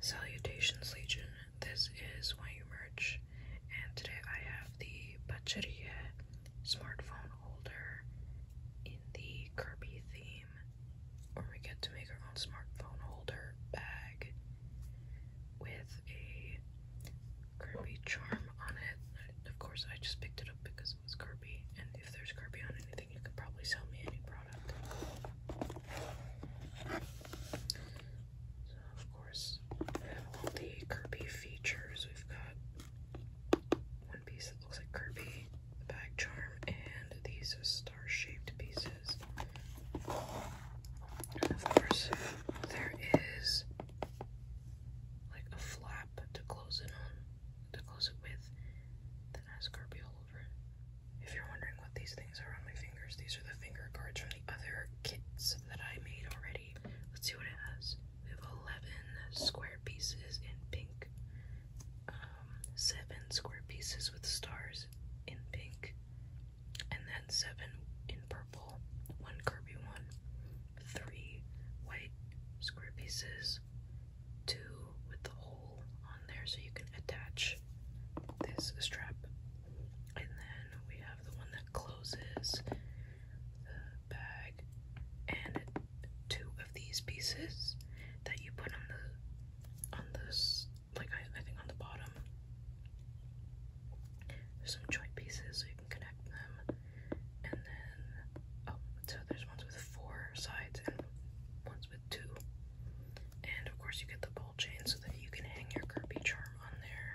Salutations Legion, this is Why You Merch, and today I have the Pacheria smartphone holder in the Kirby theme, where we get to make our own smartphone holder bag with a Kirby charm on it. Of course, I just picked it up because it was Kirby, and if there's Kirby on anything, you could probably sell me any product. of course, all the Kirby features. We've got one piece that looks like Kirby, the bag charm, and these star shaped pieces. And of course, there is like a flap to close it on, to close it with then I all over If you're wondering what these things are on my fingers, these are the finger cards from the other kits that I made already. Let's see what it has. We have 11 square pieces in pink, um, 7 square pieces with stars in pink, and then 7 in purple, 1 Kirby one, 3 white square pieces, two with the hole on there so you can attach this strap. And then we have the one that closes the bag and two of these pieces that you put on the on this like I, think on the bottom. There's some joint pieces so you can connect them. And then oh so there's ones with four sides and ones with two. And of course, you get the ball chain so that you can hang your Kirby charm on there.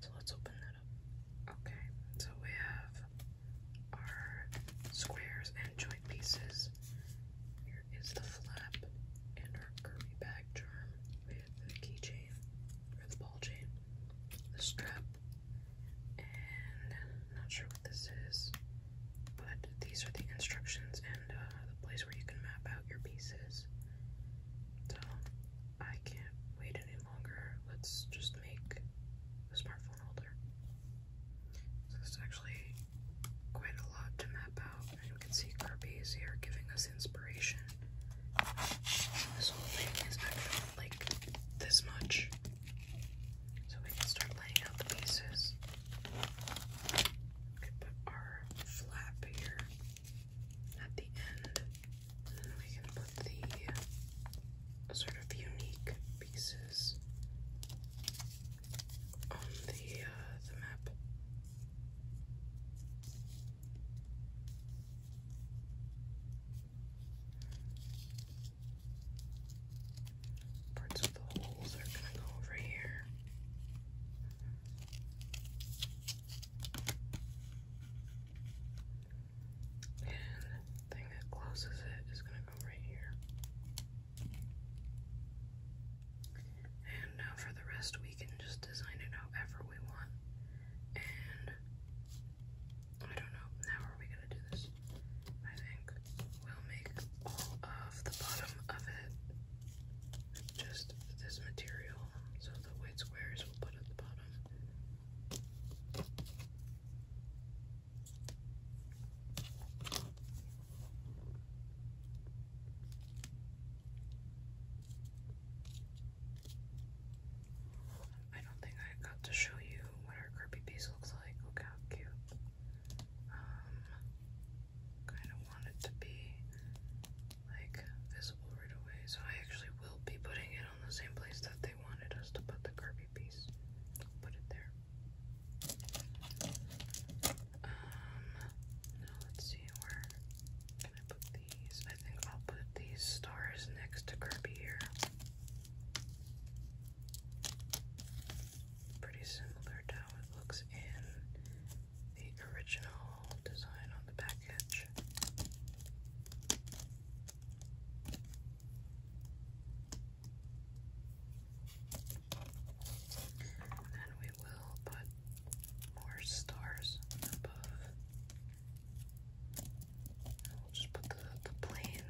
So let's open that up. Okay, so we have our squares and joint pieces. Here is the flap and our Kirby bag charm. We the keychain or the ball chain, the strap, not sure what this is, but these are the instructions and uh, the place where you can map out your pieces. I can't wait any longer. Let's just make a smartphone holder. So it's actually quite a lot to map out, and you can see Kirby's here giving us inspiration. This whole thing is actually like this much. So we can start laying out the pieces. We can put our flap here at the end. And then we can put the sort of unique pieces on the uh, the map. Parts of the holes are gonna go over here. And thing that closes it is gonna go right here. And now for the rest, we can just design it however we want. And I don't know. Now are we gonna do this? I think we'll make all of the bottom of it just this material. So the white squares we'll put at the bottom. I don't think I got to show you what our Kirby piece looks like. Look how cute. Um, kind of want it to be like visible right away, so I actually will be putting it on the same place that they wanted us to put the Kirby piece. Put it there. Um, now let's see where can I put these? I think I'll put these stars next to Kirby here. Pretty similar to how it looks in the original design on the package. then we will put more stars above just put the, plain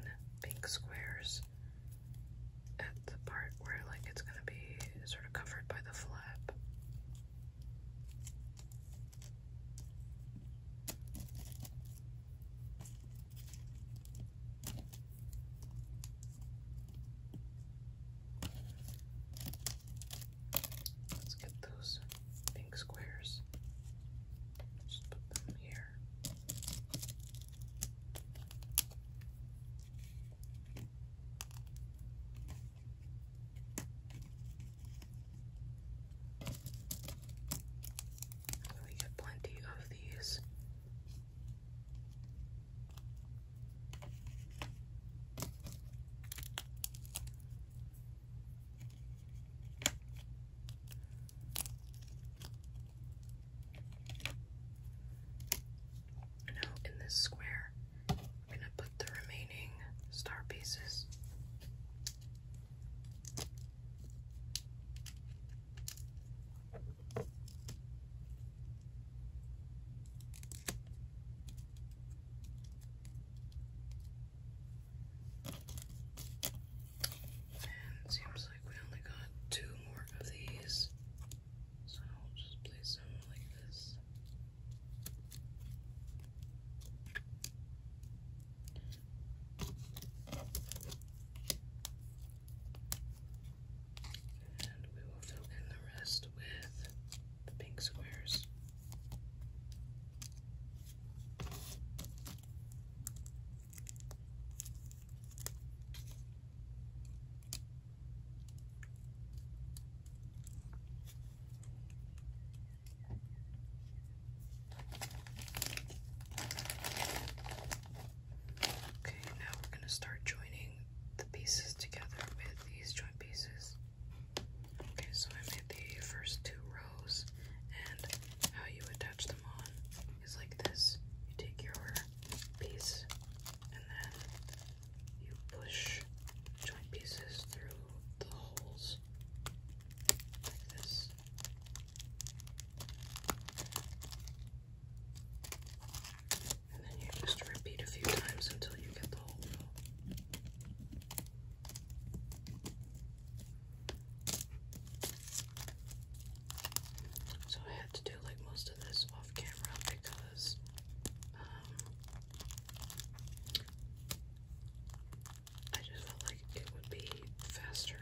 pink squares at the part where like it's gonna be sort of covered by the flap. Let's get those pink squares here. And we get plenty of these. Now, in this square, I'm going to put the remaining star pieces. And seems like we only got two more of these. So I'll just place them like this. And we will fill in the rest with the pink squares. Okay, now we're going to start joining the pieces together with these joint pieces. Okay, so I made the first two rows and how you attach them on is like this. You take your piece and then you push joint pieces through the holes like this. And then you just repeat a few times until you get the whole so I had to do like most of this off camera because um, I just felt like it would be faster.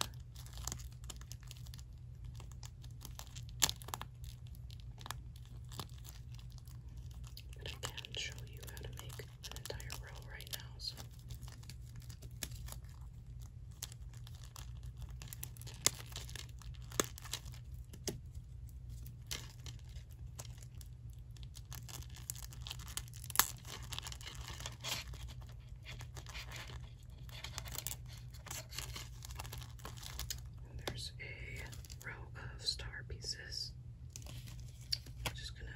But I can show you how to make an entire row right now, so there's a row of star pieces. I'm just gonna,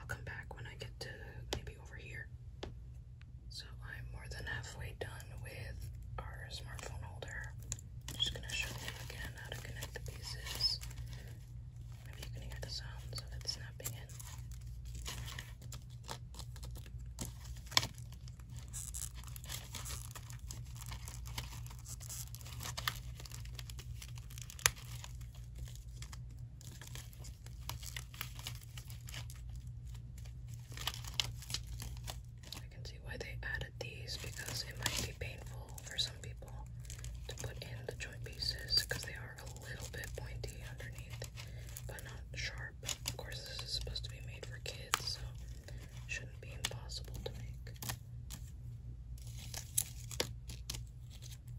I'll come back when I get to maybe over here. So I'm more than halfway done with our smartphone holder. just gonna show you again how to connect the pieces. Maybe you can hear the sounds of it snapping in. I can see why they added these because it might be painful for some people to put in the joint pieces because they are a little bit pointy underneath but not sharp. Of course, this is supposed to be made for kids, so it shouldn't be impossible to make. Alright,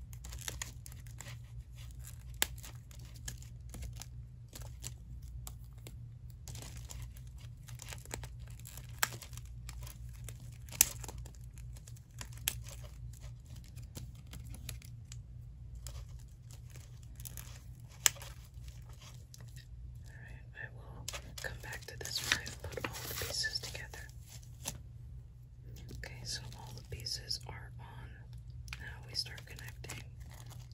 I will come back to this one and put all the pieces together. Okay, so all the pieces are on. Now we start connecting.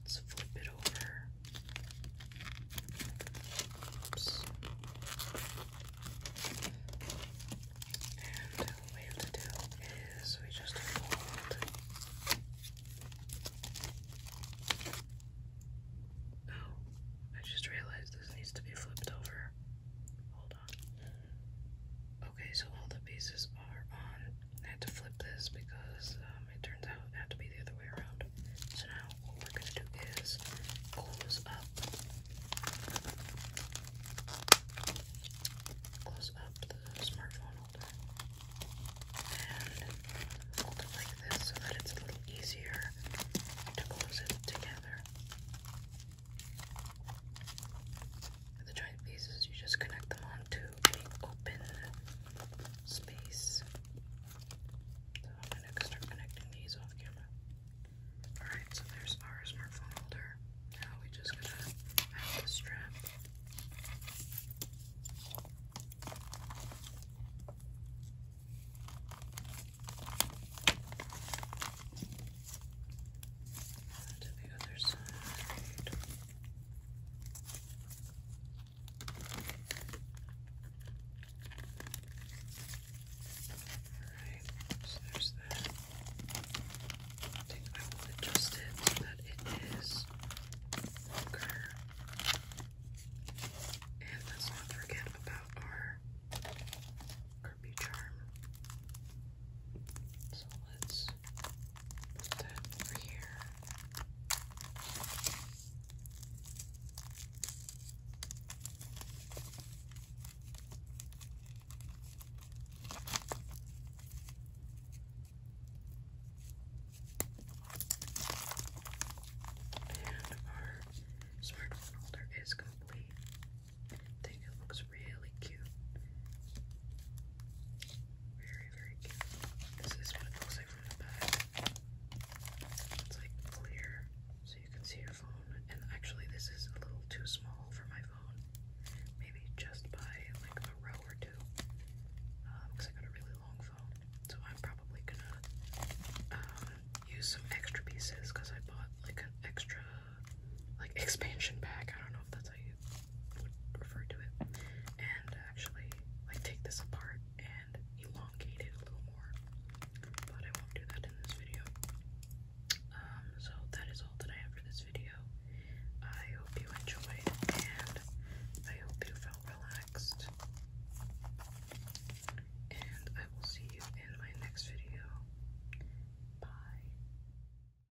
Let's flip it over. Oops. And what we have to do is we just fold. Oh, I just realized this needs to be flipped over. Hold on. Okay, so all the pieces are on. I had to flip this because um, it turns out it had to be the other way around. So now what we're gonna do is close up, close up the smartphone and hold it like this so that it's a little easier to close it together the joint pieces, you just connect them onto an open space. So I'm going to start connecting these off camera. Alright, so there's our smartphone holder. Now we just gotta add the strap to the other side. Alright, so there's that. I think I will adjust that it is longer. And let's not forget about our Kirby charm. So let's Put that over here. And our smartphone holder is complete. think it looks really cute. Very, very cute. This is what it looks like from the back. It's like clear, so you can see your phone. And actually, this is a little too small for my phone. Maybe just buy like a row or two. Because um, I got a really long phone. So I'm probably gonna um, use some extra pieces because I bought like an extra like expansion pack. I don't know if that's how you would refer to it. And actually, like take this apart and elongate it a little more. But I won't do that in this video. Um, so that is all that I have for this video. I hope you enjoyed and I hope you felt relaxed. And I will see you in my next video. Bye.